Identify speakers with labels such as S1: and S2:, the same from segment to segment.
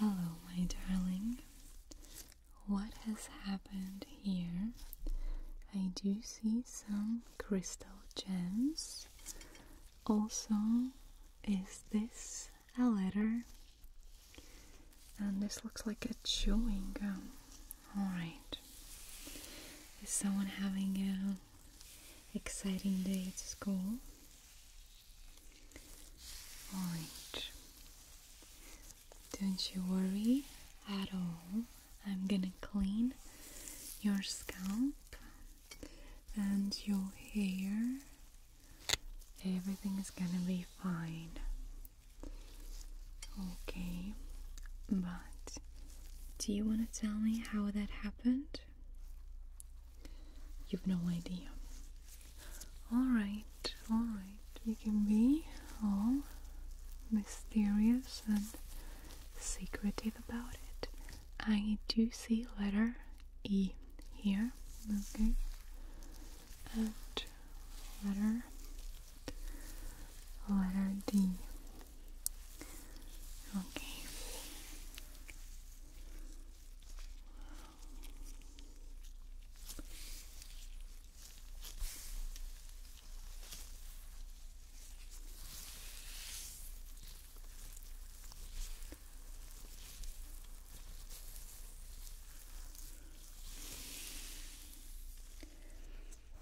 S1: Hello, my darling. What has happened here? I do see some crystal gems. Also, is this a letter? And this looks like a chewing gum. Alright. Is someone having an exciting day at school? Don't you worry at all. I'm gonna clean your scalp and your hair. Everything is gonna be fine. Okay, but do you want to tell me how that happened? You've no idea. Alright, alright. You can be all mysterious and secretive about it. I do see letter E here, okay? And letter letter D. Okay.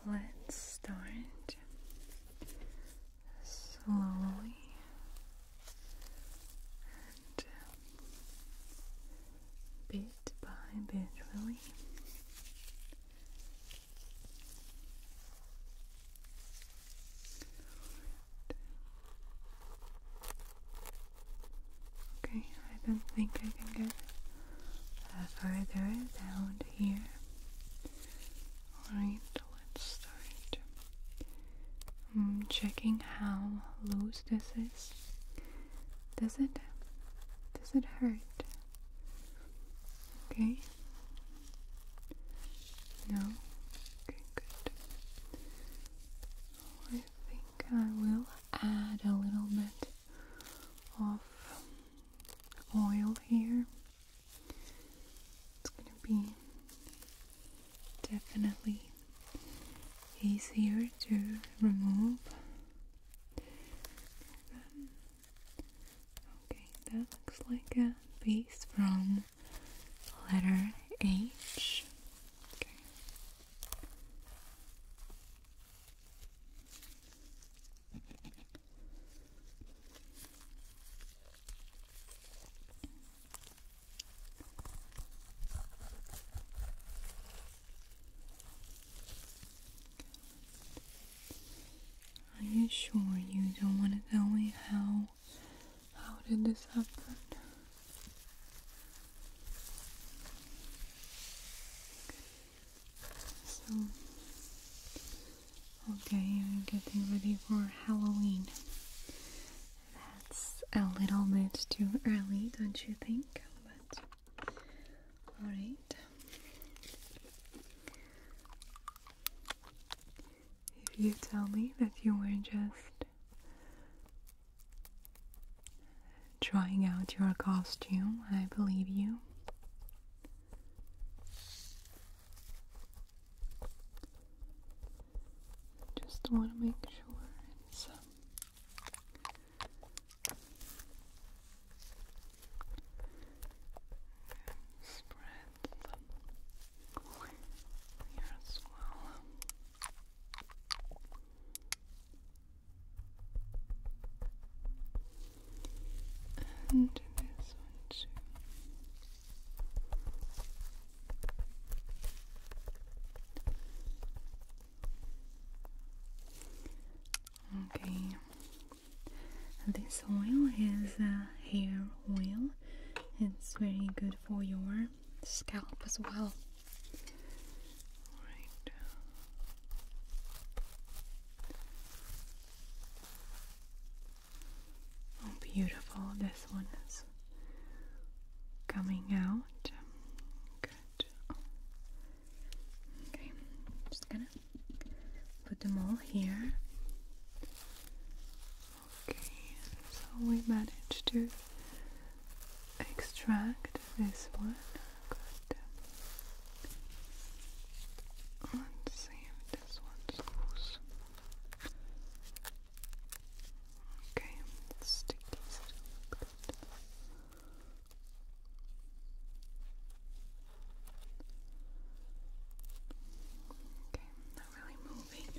S1: Let's start slowly uh, bit by bit, really. Okay, I don't think I can get uh, further down here. Alright let's start I'm mm, checking how loose this is. Does it does it hurt? Okay. No. Okay, good. I think I will add a little bit of oil here. It's gonna be definitely easier to remove okay that looks like a piece from letter H are you sure you don't want to tell me how how did this happen? So okay, I'm getting ready for Halloween. That's a little bit too early, don't you think? But alright. If you tell me that you were just trying out your costume, I believe you. Just want to make sure it's um, spread here as well. And this one too. Okay, this oil is uh, hair oil, it's very good for your scalp as well. All right. Oh, beautiful this one is coming out. Good. Okay, I'm just gonna put them all here. Okay, so we managed to extract this one. Good. Let's see if this one's loose. Okay, stick Okay, not really moving.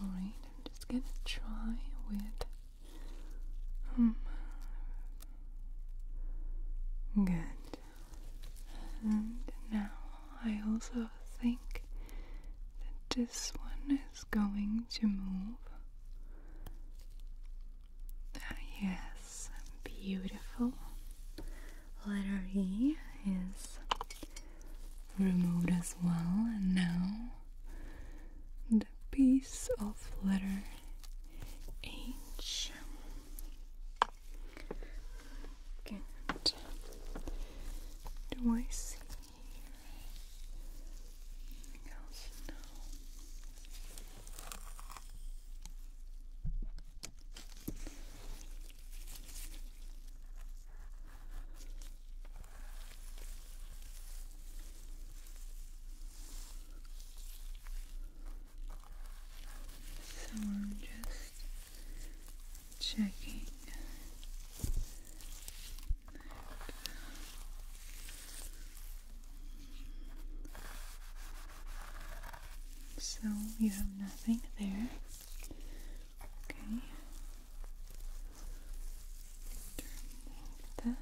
S1: Alright, I'm just gonna try with um good. And now I also think that this one is going to move. Ah, yes, beautiful. Letter E is removed as well, and now the piece of letter H Good. Do I see here anything else? No. So I'm just checking so you have nothing there. Okay. that.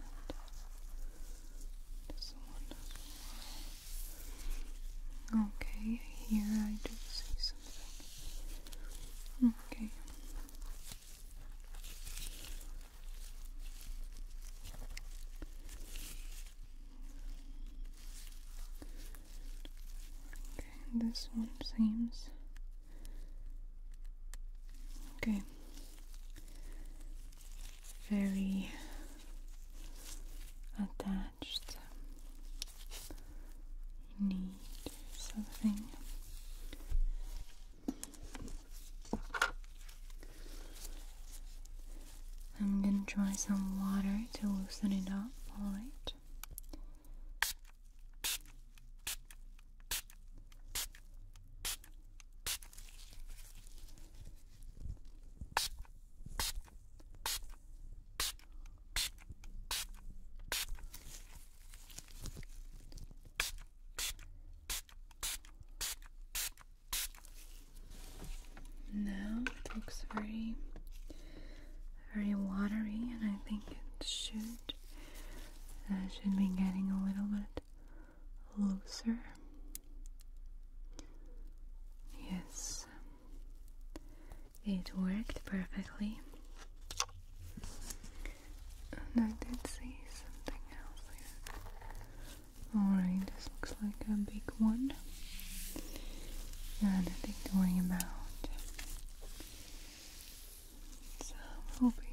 S1: This one Okay, here I did see something. Okay. Okay, this one seems okay very attached. need something I'm gonna try some water to loosen it up, alright? Now it looks very, very watery, and I think it should uh, should be getting a little bit looser. Yes, it worked perfectly. And I did see something else here. Alright, this looks like a big one. And nothing to worry about. So, we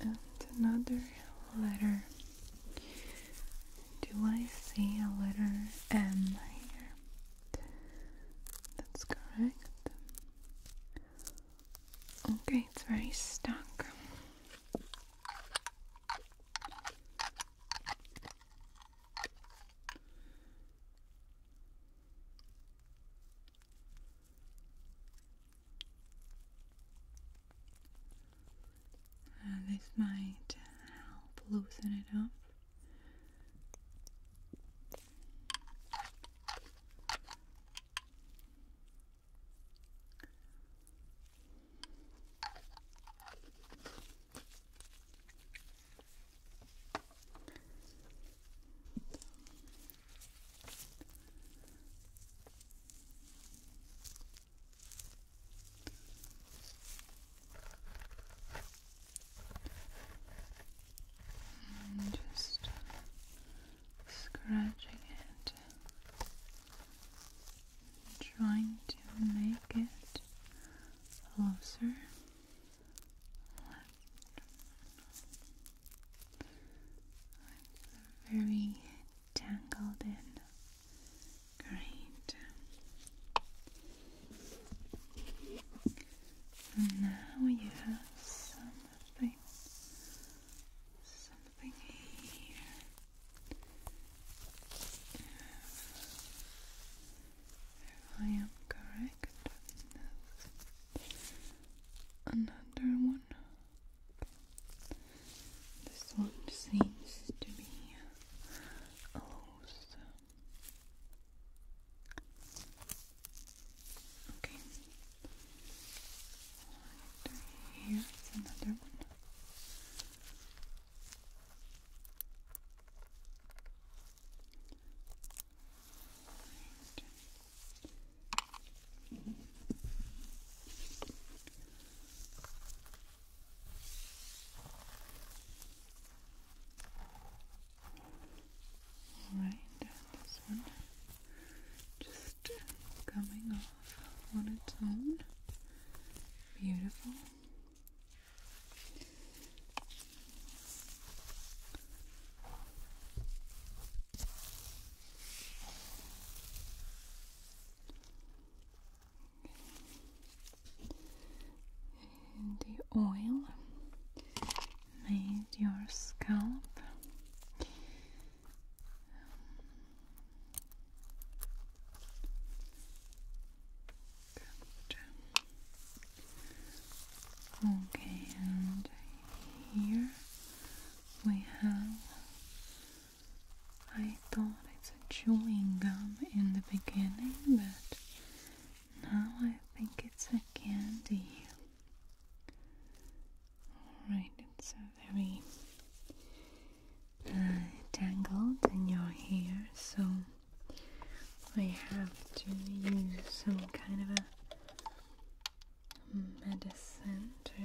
S1: And another letter. Do I see a letter M here? That's correct. Okay, it's very stuck this might help loosen it up. And just scratching it, trying to make it closer. It's very tangled in. Great. now you have something, something here. If I am correct another one. This one seems to be loose. Okay. Here's another one. Alright, this one just coming off on its own. Beautiful. And the oil made your scalp Okay, and here we have. I thought it's a chewing gum in the beginning, but now I think it's a candy. Alright, it's a very uh, tangled in your hair, so I have to use some kind of a medicine to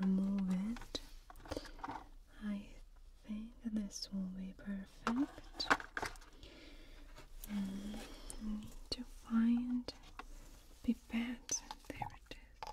S1: remove it. I think this will be perfect. need to find pipette. There it is.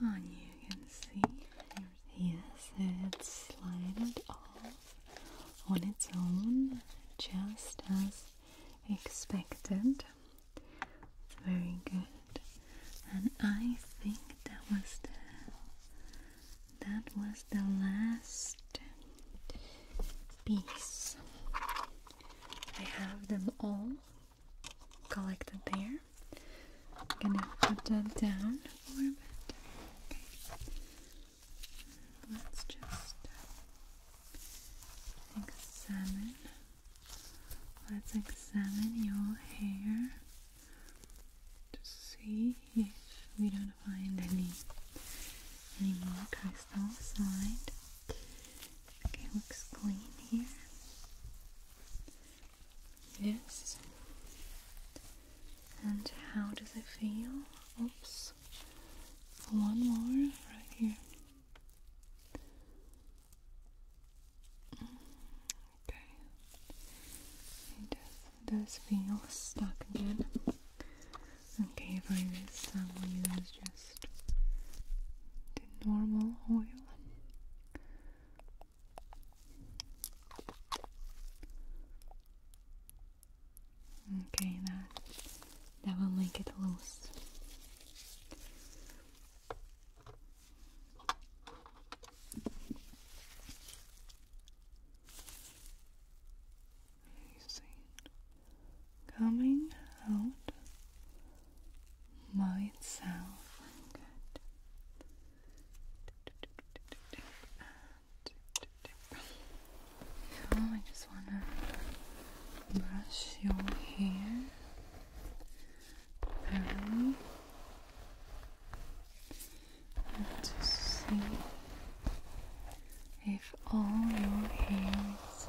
S1: and you can see yes it's slided off on its own just as expected very good and I think that was the that was the last piece I have them all collected there. I'm gonna put that down for a bit. Okay. Let's just uh, examine. Let's examine your hair to see if we don't find any any more crystals lined. Okay, looks clean here. Yes. And how does it feel? Oops. One more right here. Mm, okay. It does, feel stuck again. Okay, for this I will use just the normal oil. Okay, that that will make it loose. You see, coming out Myself, And now I just want to brush your hair thoroughly and to see if all your hair is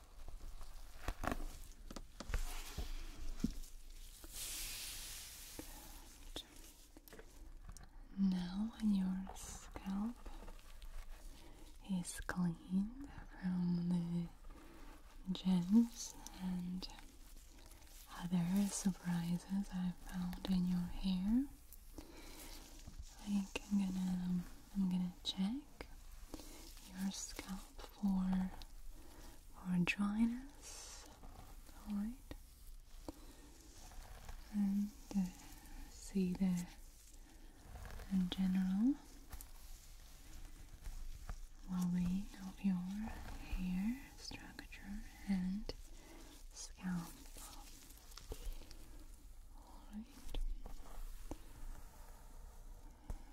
S1: Now your scalp is clean from the gems and other surprises I found in your hair. I'm gonna um, I'm gonna check your scalp for for dryness. Alright. And uh, see the in general well of your hair structure and scalp. Alright.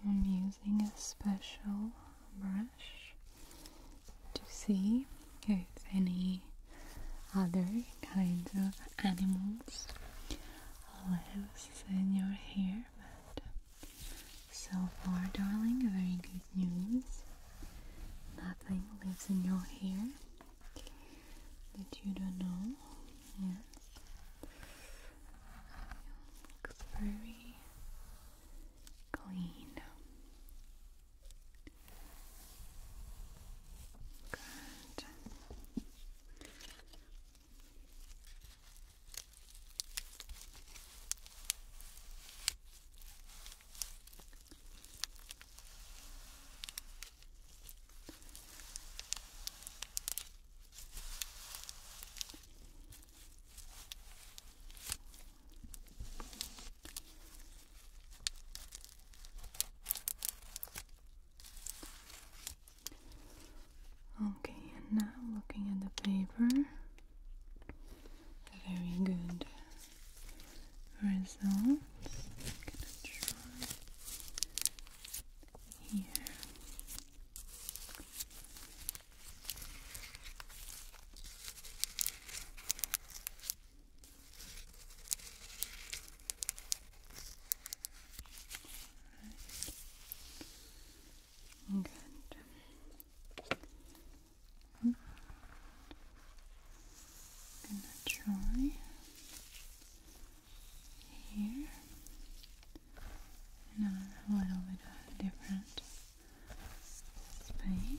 S1: I'm using a special brush to see if any other kinds of animals live in your hair but so far darling very good news nothing lives in your hair that you don't know hands. It looks very clean. Good. Okay, and now looking at the paper, very good results. gonna try here. Good. gonna try here. Another little bit different space. Okay.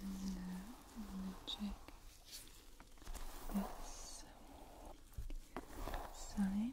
S1: And now I'm going to check this side.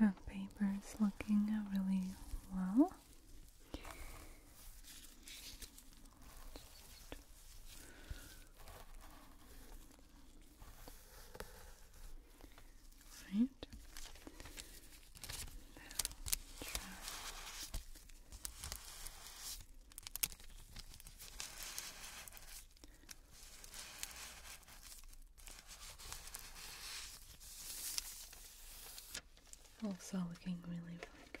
S1: Okay. paper is looking really well. Right. Also looking really, like it.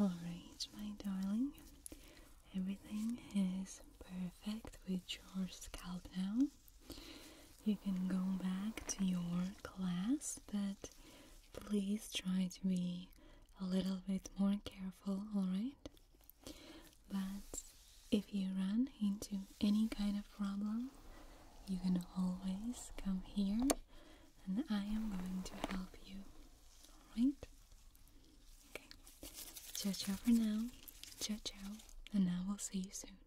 S1: Alright, my darling, everything is perfect with your scalp now. You can go back to your class, but please try to be a little bit more careful, alright? But if you run into any kind of problem, you can always come here and I am going to help you, alright? Okay, ciao ciao for now, ciao ciao, and I will see you soon.